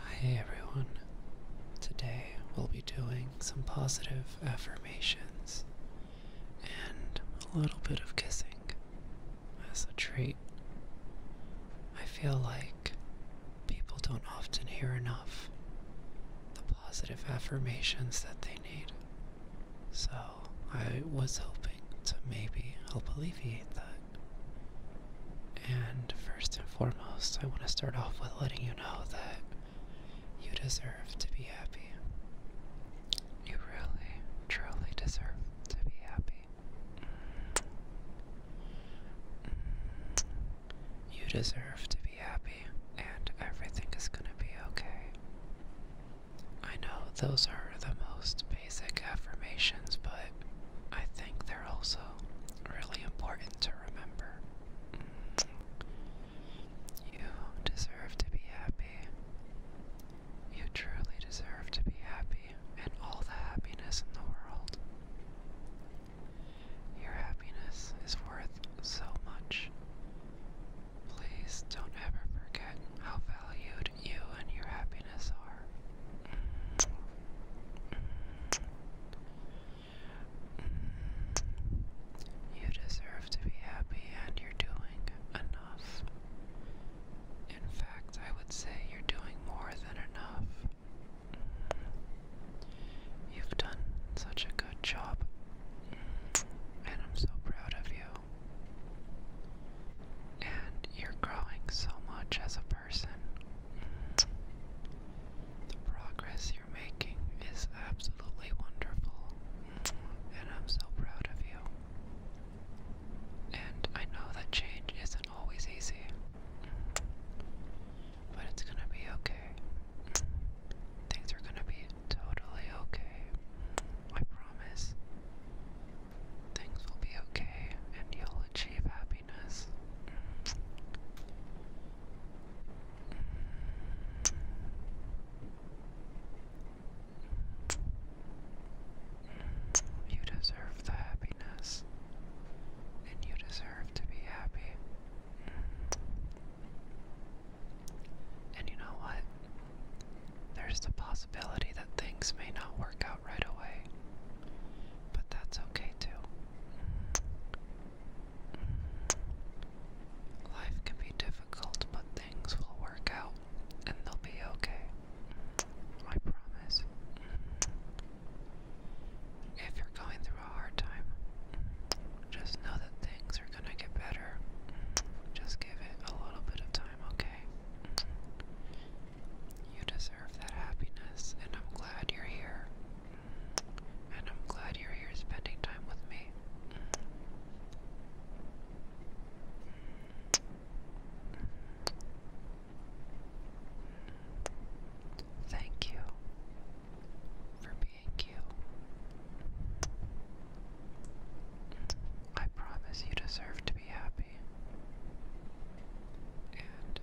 Hi everyone. Today we'll be doing some positive affirmations and a little bit of kissing as a treat. I feel like people don't often hear enough the positive affirmations that they need. So I was hoping to maybe help alleviate that. And first and foremost, I want to start off with letting you know that you deserve to be happy. You really, truly deserve to be happy. Mm. You deserve to be happy, and everything is going to be okay. I know those are the most basic affirmations, but I think they're also really important to remember. Mm. You deserve to be happy. You truly deserve to be happy and all the happiness in the world. Your happiness is worth so much. Please don't ever forget how valued you and your happiness are. You deserve to be happy and you're doing enough. In fact, I would say you're doing more than enough. You've done such a good job, and I'm so proud of you. And you're growing so much as a person person. The progress you're making is absolutely wonderful, and I'm so proud of you. And I know that change isn't always easy, but it's gonna be okay. Things are gonna be totally okay. I promise. Things will be okay and you'll achieve happiness. Mm. You deserve the happiness, and you deserve to be happy. And you know what? There's the possibility that things may not work out right away, but that's okay too. Life can be difficult, but things will work out and they'll be okay. I promise. If you're going through a hard time, just know that things are gonna get better. Just give it a little bit of time, okay? You deserve that happiness, and I'm glad you're here. And I'm glad you're here spending time with me. Thank you for being you. I promise you deserve to be happy. And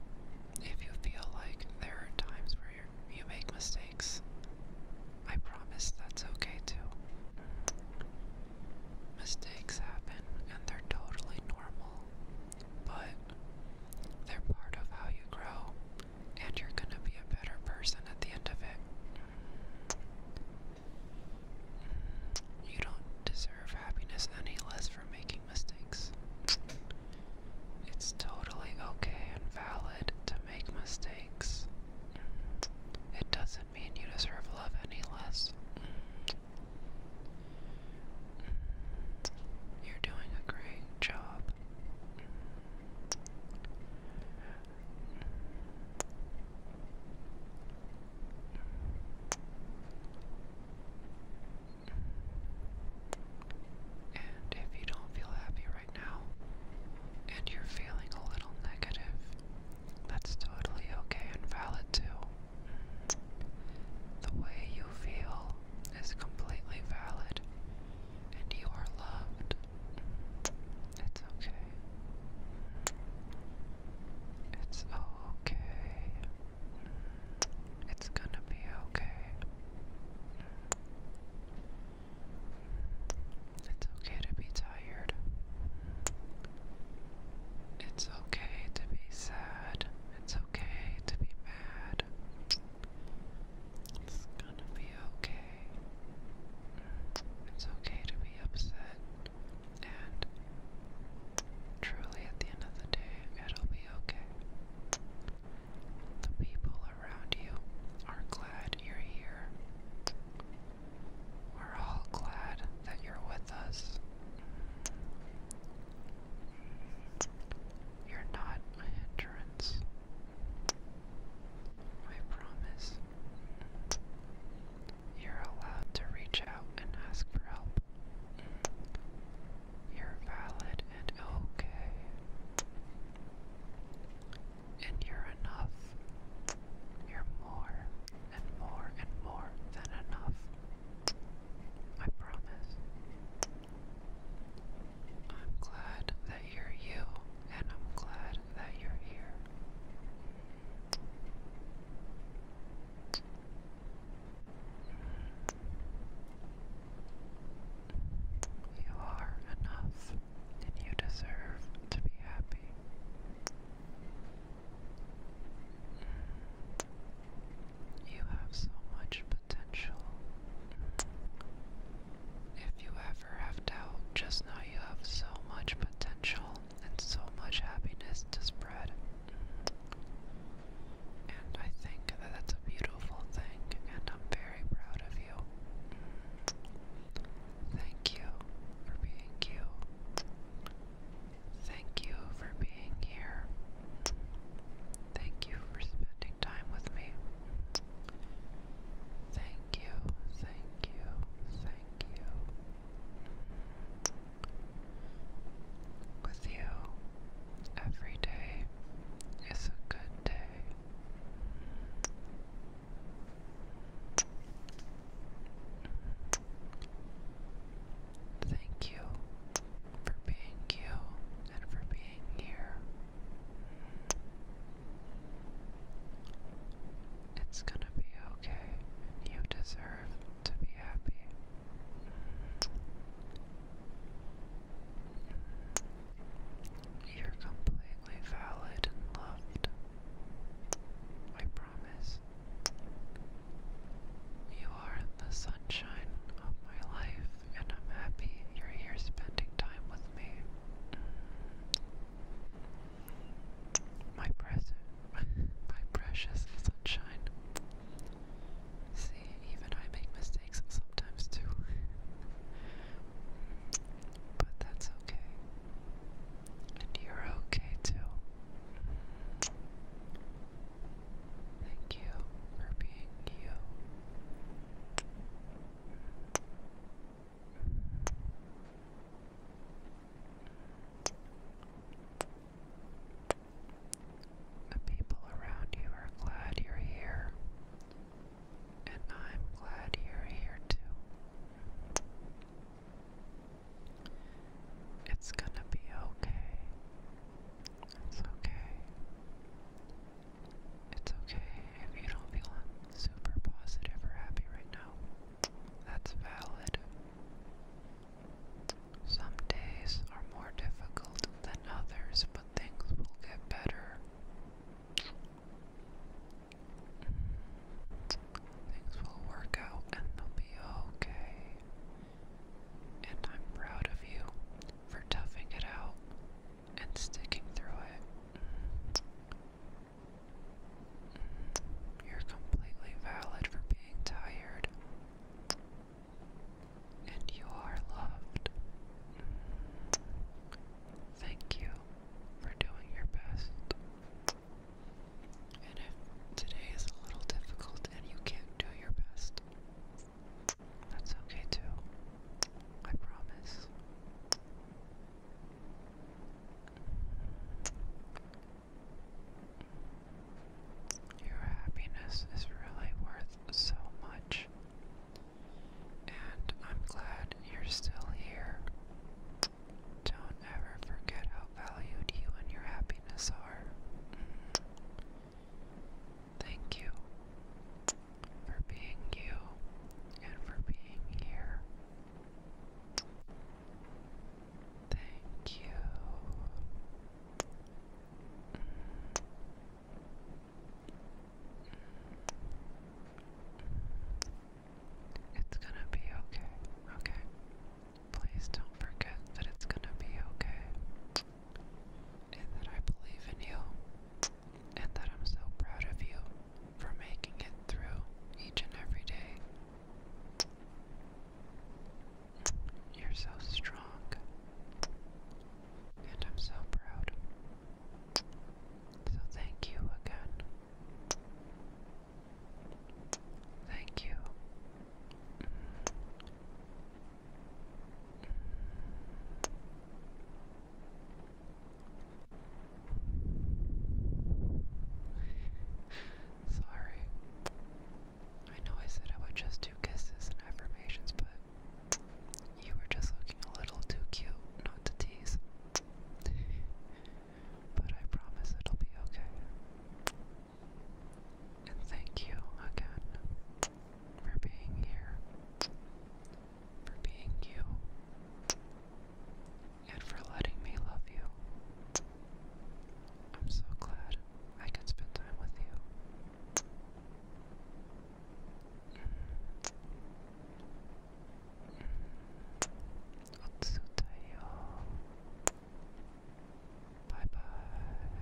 if you feel like there are times where you make mistakes, I promise that's okay too. Mistakes happen and they're totally normal, but they're part of how you grow, and you're gonna be a better person at the end of it. You don't deserve happiness any less for making mistakes. It's totally okay and valid to make mistakes. It doesn't mean you deserve love any less. You're doing a great job. And if you don't feel happy right now, and you're feeling a little negative, that's totally okay and valid too. The way you feel is completely valid, and you are loved. It's okay. It's okay. It's gonna be okay. It's okay to be tired. It's okay to be sad. It's okay to be mad. It's gonna be okay. It's okay to be upset. And truly, at the end of the day, it'll be okay. The people around you are glad you're here. We're all glad that you're with us. You're not a hindrance. I promise. You're allowed to reach out and ask for help. You're valid and okay. And you're enough. You're more and more and more than enough. I promise. I'm glad that you're you, and I'm glad that you're here. You are enough, and you deserve to be happy. You have so much potential. If you ever have doubt, just know you have so much potential and so much happiness to spread. And I think that that's a beautiful thing, and I'm very proud of you. Thank you for being you. Thank you for being here. Thank you for spending time with me. Thank you, thank you, thank Thank you. With you, every day is a good day. Thank you for being you and for being here. It's gonna be okay. You deserve to be happy. You're completely valid and loved. I promise. You are the sunshine of my life, and I'm happy you're here spending time with me. My present, my precious sunshine. See, even I make mistakes sometimes too. but that's okay. And you're okay too. Thank you for being you. The people around you are glad you're here, and I'm glad you're here too. It's gonna be okay. It's okay. It's okay if you don't feel super positive or happy right now, that's valid. Some days are more difficult than others, but things will get better. Things will work out and they'll be okay. And I'm proud of you for toughing it out and sticking through it. You're completely valid for being tired. And you are loved. Thank you for doing your best. And if today is a little difficult and you can't do your best, that's okay too. I promise. Your happiness is really worth so much, and I'm glad you're still here. Don't ever forget how valued you and your happiness are. Mm. Thank you for being you and for being here. Thank you. It's gonna be okay, okay? Please don't forget that it's gonna be okay. And that I believe in you and that I'm so proud of you for making it through each and every day. You're so strong, and I'm so proud. So, thank you again. Thank you. Sorry. I know I said I would just do kisses and affirmations, but you were just looking a little too cute not to tease. But I promise it'll be okay. And thank you again for being here for being you and for letting me love you. I'm so glad I can spend time with you. Otsutayo. Bye bye.